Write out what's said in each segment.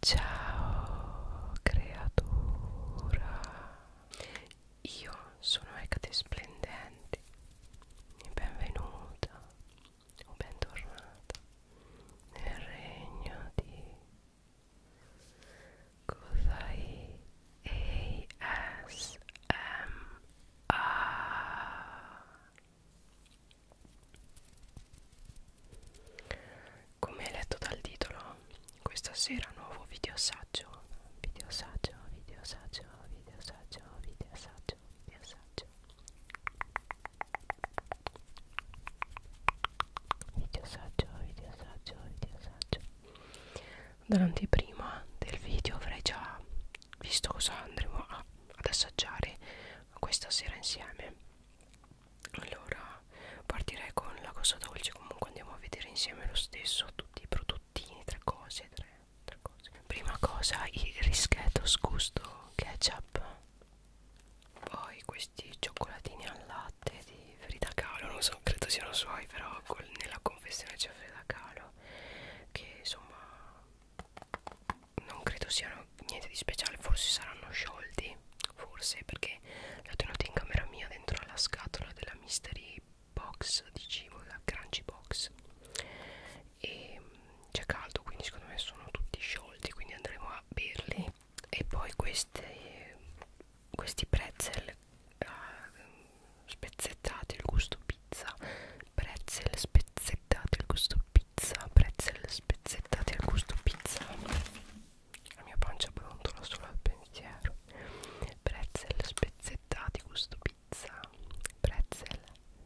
Ciao creatura, io sono Ecate Splendente e benvenuta o bentornata nel regno di Kosai ASMR come hai letto dal titolo, questa sera nuovo video assaggio, video assaggio, video assaggio, video assaggio, video assaggio, video assaggio. Video assaggio, video assaggio, video assaggio. Dall'anteprima del video avrei già visto cosa andremo a, ad assaggiare questa sera insieme allora partirei con la cosa dolce comunque andiamo a vedere insieme lo stesso tutti i prodottini tre cose tre, tre cose prima cosa il rischetos gusto ketchup poi questi cioccolatini al latte di Frida Kahlo non so credo siano suoi però col, nella confessione c'è Frida Kahlo che insomma non credo siano niente di speciale forse saranno sciolti forse perché li ho tenuti in camera mia dentro alla scatola della mystery box di cibo la crunchy box e mm, c'è caldo quindi secondo me sono tutti sciolti quindi andremo a berli e poi queste, questi pretzel uh, eh, spezzettati il gusto pizza pretzel spezzettati il gusto pizza pretzel spezzettati al gusto pizza la mia pancia brontola solo al pensiero. Pretzel spezzettati gusto pizza. Pretzel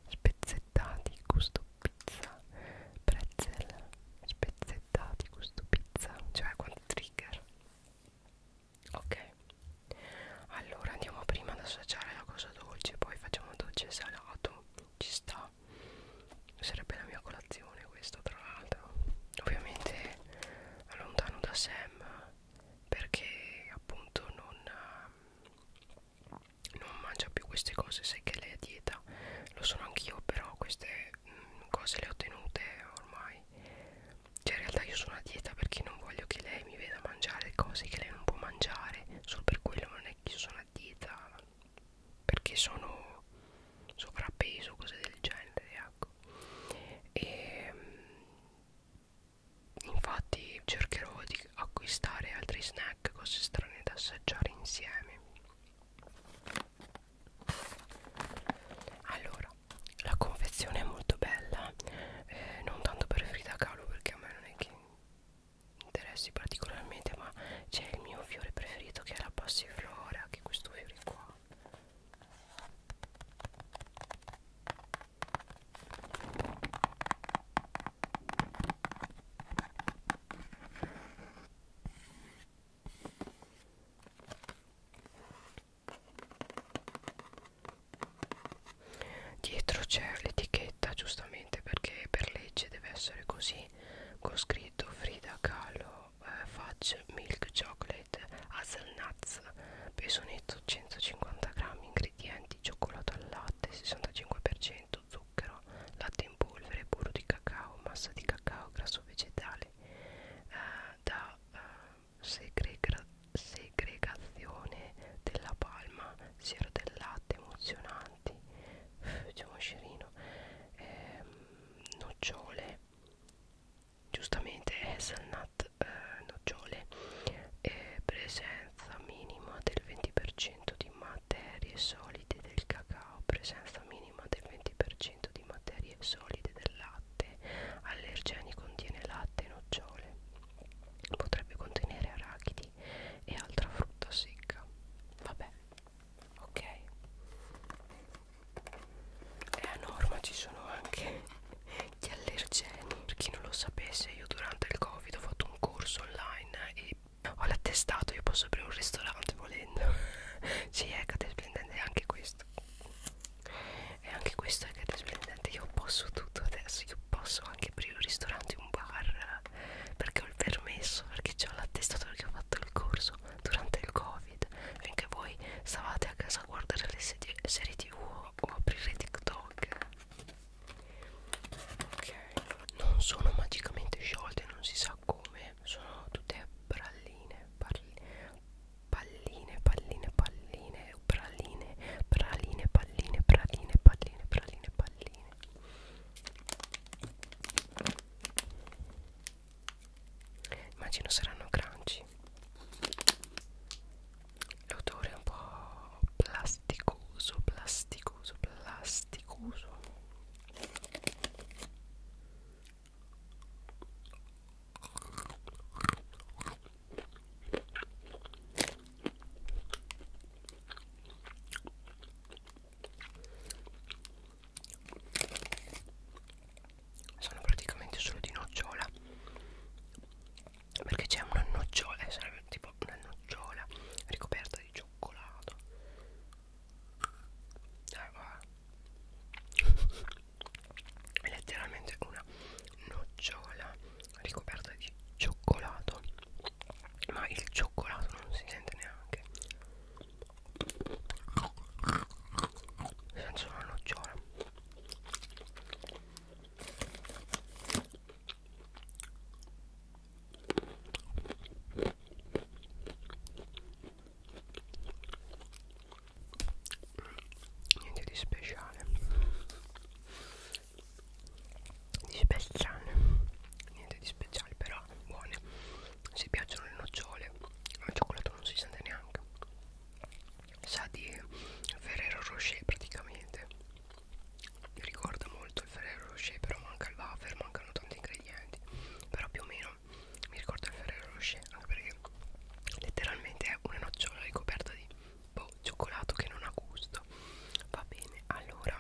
spezzettati gusto pizza. Pretzel spezzettati gusto pizza. Cioè quanti trigger. Ok. Allora andiamo prima ad assaggiare la cosa dolce, poi facciamo dolce e salato. Ci sta sarebbe la mia colazione questo tra l'altro ovviamente allontano da Sam perché appunto non, ehm, non mangia più queste cose sai che lei è dieta lo sono anch'io però queste mh, mm, cose le ho ottenute ormai cioè in realtà io sono a dieta perché non voglio che lei mi veda mangiare cose che lei non può mangiare solo per quello non è che io sono a dieta perché sono sovrappeso, cose del genere, ecco. E, ehm, infatti cercherò di acquistare altri snack, cose strane da assaggiare insieme. Allora, la confezione è molto bella, eh, non tanto per Frida Kahlo perché a me non è che interessi particolarmente, ma c'è il mio fiore preferito che è la passiflora che è questo fiore qua Dietro c'è l'etichetta giustamente perché per legge deve essere così Disney con scritto Frida Kahlo eh, Fudge Milk Chocolate Hazelnuts peso netto 150 grammi ingredienti cioccolato al latte 65% zucchero latte in polvere burro di cacao massa di cacao grasso vegetale eh, da eh, segrega segregazione della palma siero del latte emozionanti c'è un scerino ehm, nocciole giustamente hazelnut eh, nocciole eh, presenza minima del 20% di materie solide del cacao presenza minima del 20% di materie solide del latte allergeni contiene latte e nocciole potrebbe contenere arachidi e altra frutta secca vabbè ok e a norma ci sono anche gli allergeni per chi non lo sapesse io durante il covid ho fatto un corso online e ho l'attestato io posso aprire un ristorante volendo si sì, è splendente anche questo e anche questo è splendente io posso tutto adesso io posso anche aprire un ristorante un bar perché ho il permesso, perché ho l'attestato, perché ho fatto il corso durante il covid finché voi stavate a casa a guardare le serie, serie tv o, o aprire tiktok ok non sono magicamente sciolte non si sa come sono tutte bralline palline palline palline praline praline palline praline palline praline palline Immagino saranno crunchy. L'odore è un po' plasticoso, plasticoso, plasticoso sono praticamente solo di nocciola perché c'è una nocciola eh, sarebbe tipo una nocciola ricoperta di cioccolato eh, è letteralmente una nocciola ricoperta di cioccolato ma il cioccolato non si sente neanche senza una nocciola niente di speciale di speciale niente di speciale però buone se piacciono le nocciole al cioccolato non si sente neanche sa di Ferrero Rocher praticamente mi ricorda molto il Ferrero Rocher però manca il wafer mancano tanti ingredienti però più o meno mi ricorda il Ferrero Rocher anche perché letteralmente è una nocciola ricoperta di boh, cioccolato che non ha gusto va bene allora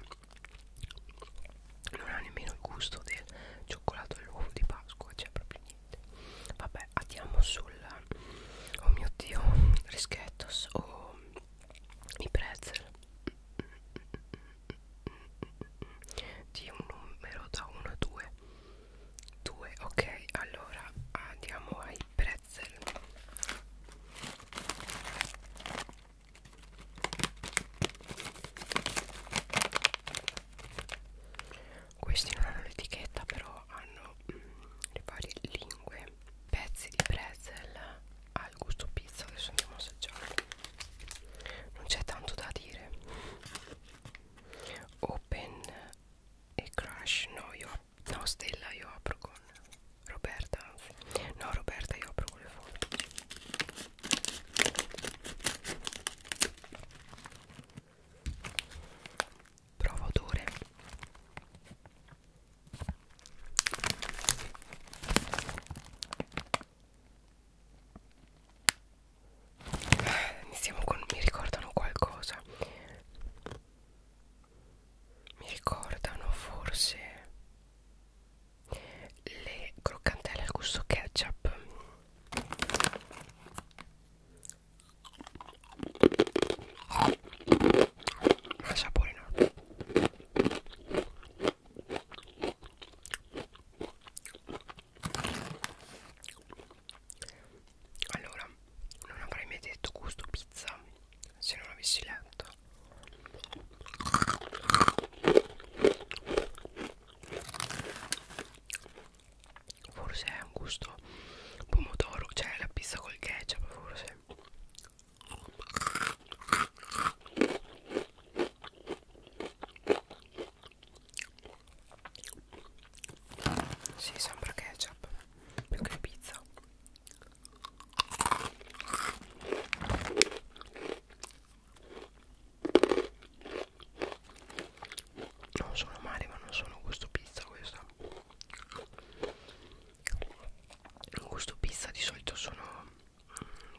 non ha nemmeno il gusto del cioccolato all'uovo di Pasqua c'è cioè proprio niente vabbè andiamo sul oh mio dio rischettos o oh, i pretzel di un numero da 1 a 2 2 ok allora andiamo ai pretzel questi non hanno l'etichetta però hanno mm, le varie lingue pezzi di pretzel al gusto pizza adesso andiamo a assaggiarlo non c'è tanto da dire open e crash no io no stella io apro con Roberta anzi no Roberta io apro con le foto Prova odore. Eh, Iniziamo con mi ricordano qualcosa. Mi ricordano forse le croccantelle al gusto ketchup un sapore enorme allora non avrei mai detto gusto pizza se non avessi letto forse è un gusto pomodoro cioè la pizza col ketchup forse si sì, sembra ketchup più che pizza non sono male ma non sono gusto pizza questa in gusto pizza di solito sono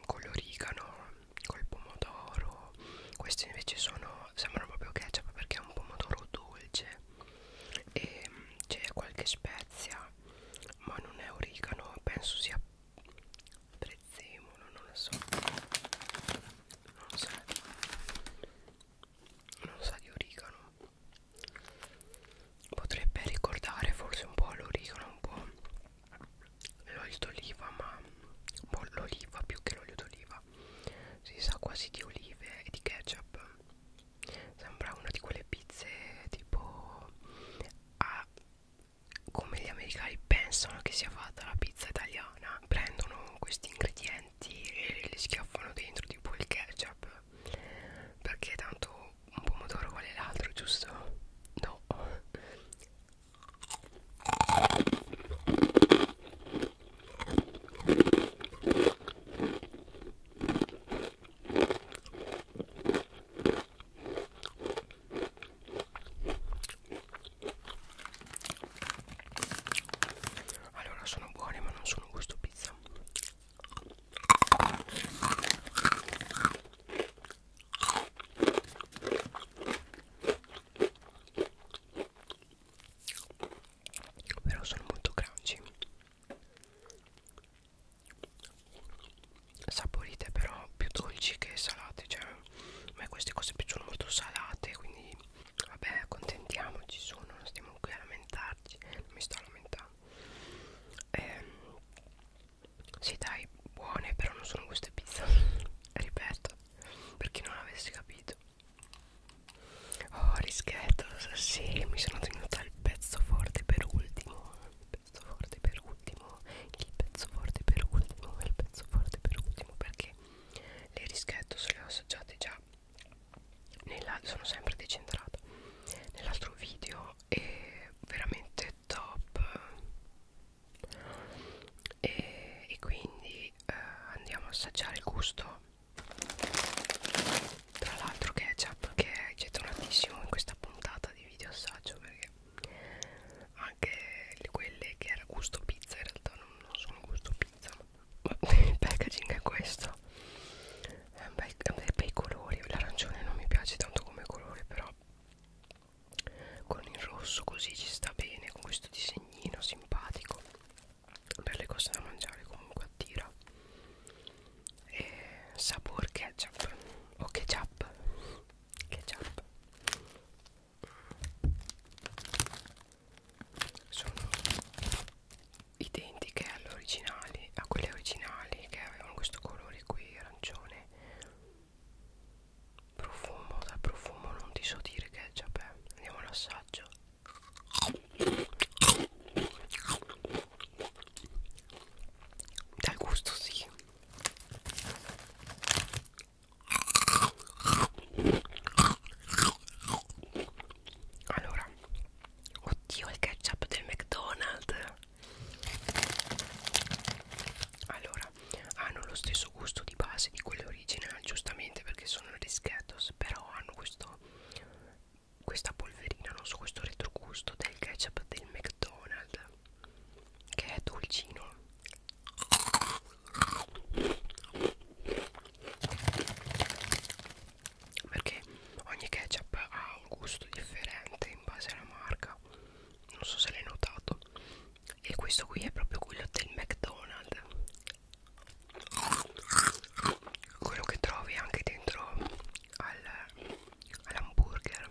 con mm, l'origano col pomodoro questi invece sono sembrano proprio ketchup perché è un pomodoro dolce e mm, c'è qualche spezia ma non è origano penso sia prezzemolo non lo so non lo so non sa so di origano potrebbe ricordare forse un po' l'origano un po' l'olio d'oliva ma un po' l'oliva più che l'olio d'oliva si sa quasi di olive e di ketchup sembra una di quelle pizze tipo a come gli americani pensano che sia fatta la pizza italiana prendono questi ingredienti e li schiaffano dentro tipo il ketchup perché tanto un pomodoro qual è l'altro giusto? no allora sono buone ma non sono gusto pizza però sono molto crunchy saporite però più dolci che salate cioè a me queste cose piacciono molto salate quindi vabbè contentiamoci sono non stiamo qui a lamentarci non mi sto lamentando ehm, sì dai buone però non sono queste pizza ripeto per chi non avesse capito oh rischetto sì mi sono tenuta il pezzo forte per ultimo eh pezzo forte per ultimo il pezzo forte per ultimo il pezzo forte per ultimo perché le rischetto se le ho assaggiate già nella, sono sempre decentrata nell'altro video è veramente top e, e quindi eh, andiamo a assaggiare il gusto tra l'altro ketchup che è gettonatissimo in questa puntata di video assaggio perché anche quelle che era gusto pizza in realtà non, non sono gusto pizza ma il packaging è questo è un, bel, è un bei colori l'arancione non mi piace tanto come colore però con il rosso così ci sta bene con questo disegnino simpatico per le cose da mangiare comunque attira e sapor ketchup o ketchup ketchup sono identiche alle originali a quelle originali che avevano questo colore qui arancione profumo dal profumo non ti so dire ketchup eh. andiamo all'assaggio dal gusto sì allora, oddio il ketchup del McDonald's Allora, hanno lo stesso gusto di base di quelli originali giustamente perché sono rischettos Però hanno questo, questa polverina, non so, questo retrogusto del ketchup del McDonald's che è dolcino perché ogni ketchup ha un gusto differente in base alla marca non so se l'hai notato e questo qui è proprio quello del McDonald's quello che trovi anche dentro al, all'hamburger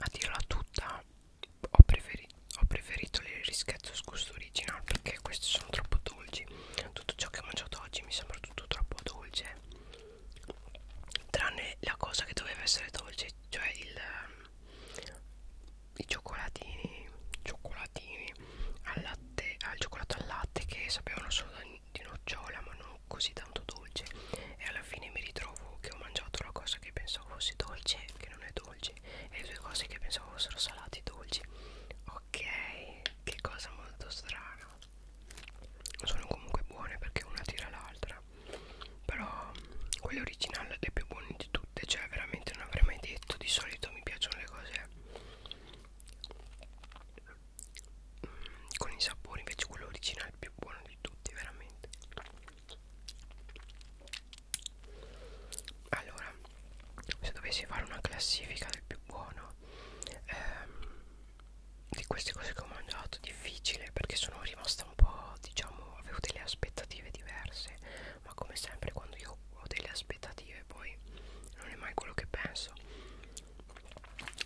a dirla tutta ho preferito, ho preferito le rischezzo sgusto originale perché queste sono troppo dolci tutto ciò che ho mangiato oggi mi sembra tutto troppo dolce tranne la cosa che doveva essere dolce cioè il i cioccolatini cioccolatini al latte al cioccolato al latte che sapevano solo da di nocciola ma non così tanto dolce e alla fine mi ritrovo che ho mangiato la cosa che pensavo fosse dolce che non è dolce e le due cose che pensavo fossero salate dolci ok che cosa molto strana sono comunque buone perché una tira l'altra però quella originale è più buona di tutte cioè veramente non avrei mai detto di solito mi piacciono le cose con i sapori invece quello originale è il più buono di tutti veramente allora se dovessi fare una classifica del più buono ehm, di queste cose che ho mangiato difficile perché sono rimasta un po' diciamo avevo delle aspettative diverse ma come sempre quando io ho delle aspettative poi non è mai quello che penso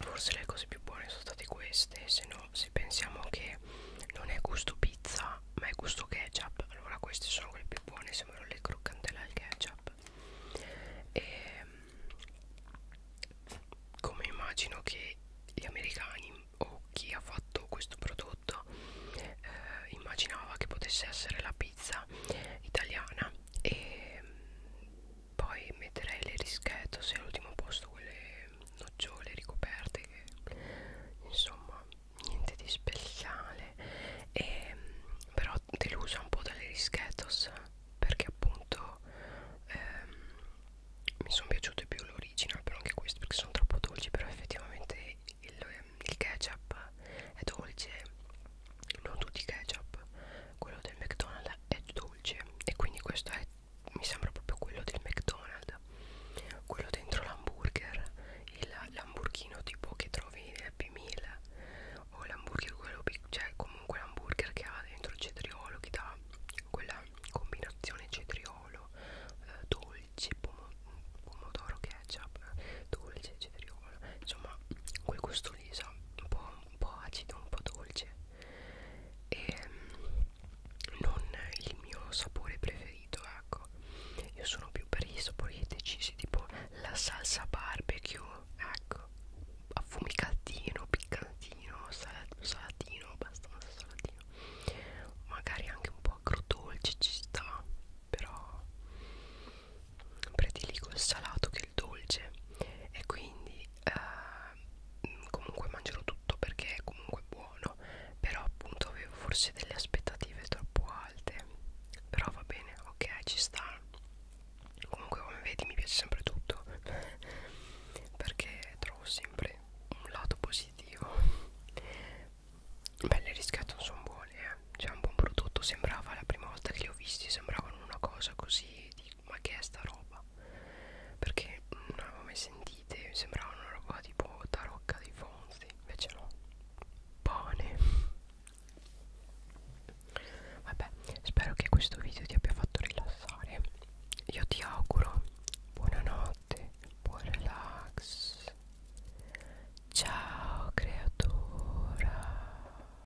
forse le cose più buone sono state queste se no se pensiamo che non è gusto pizza ma è gusto ketchup allora queste sono quelle più buone sembrano le croccantelle al ketchup e ehm, come immagino che gli americani o chi ha fatto questo prodotto eh, immaginava che potesse essere la pizza italiana e ehm, poi metterei le rischette se all'ultimo posto quelle nocciole ricoperte che insomma niente di speciale e, ehm, però delusa un po' dalle rischettos perché appunto ehm, mi sono piaciute più l'original però anche queste perché sono troppo dolci però effettivamente il, il ketchup è dolce non tutti i ketchup quello del McDonald's è dolce e quindi questo è mi sembra proprio quello del McDonald's quello dentro l'hamburger l'hamburghino tipo che trovi nel Happy Meal o l'hamburger quello cioè comunque l'hamburger che ha dentro il cetriolo che dà quella combinazione cetriolo eh, dolce pomo pomodoro ketchup dolce cetriolo insomma quel gusto lì sa un po' un po' acido, un po' dolce e ehm, non il mio sapore preferito, ecco. Io sono più per i sapori decisi, tipo la salsa barbecue, ecco, affumicatino, piccantino, sal salatino, abbastanza salatino. Magari anche un po' agrodolce ci sta, però prediligo il salato che il dolce e quindi eh, comunque mangerò tutto perché è comunque buono però appunto avevo forse delle aspettative troppo alte però va bene ok ci sta comunque come vedi mi piace sempre tutto perché trovo sempre un lato positivo beh le riscatole sono buone eh. c'è cioè, un buon prodotto sembrava la prima volta che li ho visti sembravano una cosa così dico ma che è sta roba perché non avevo mai sentite mi sembrava una roba tipo tarocca dei fonzi invece no pane vabbè spero che questo video ti abbia fatto rilassare io ti auguro buonanotte buon relax ciao creatura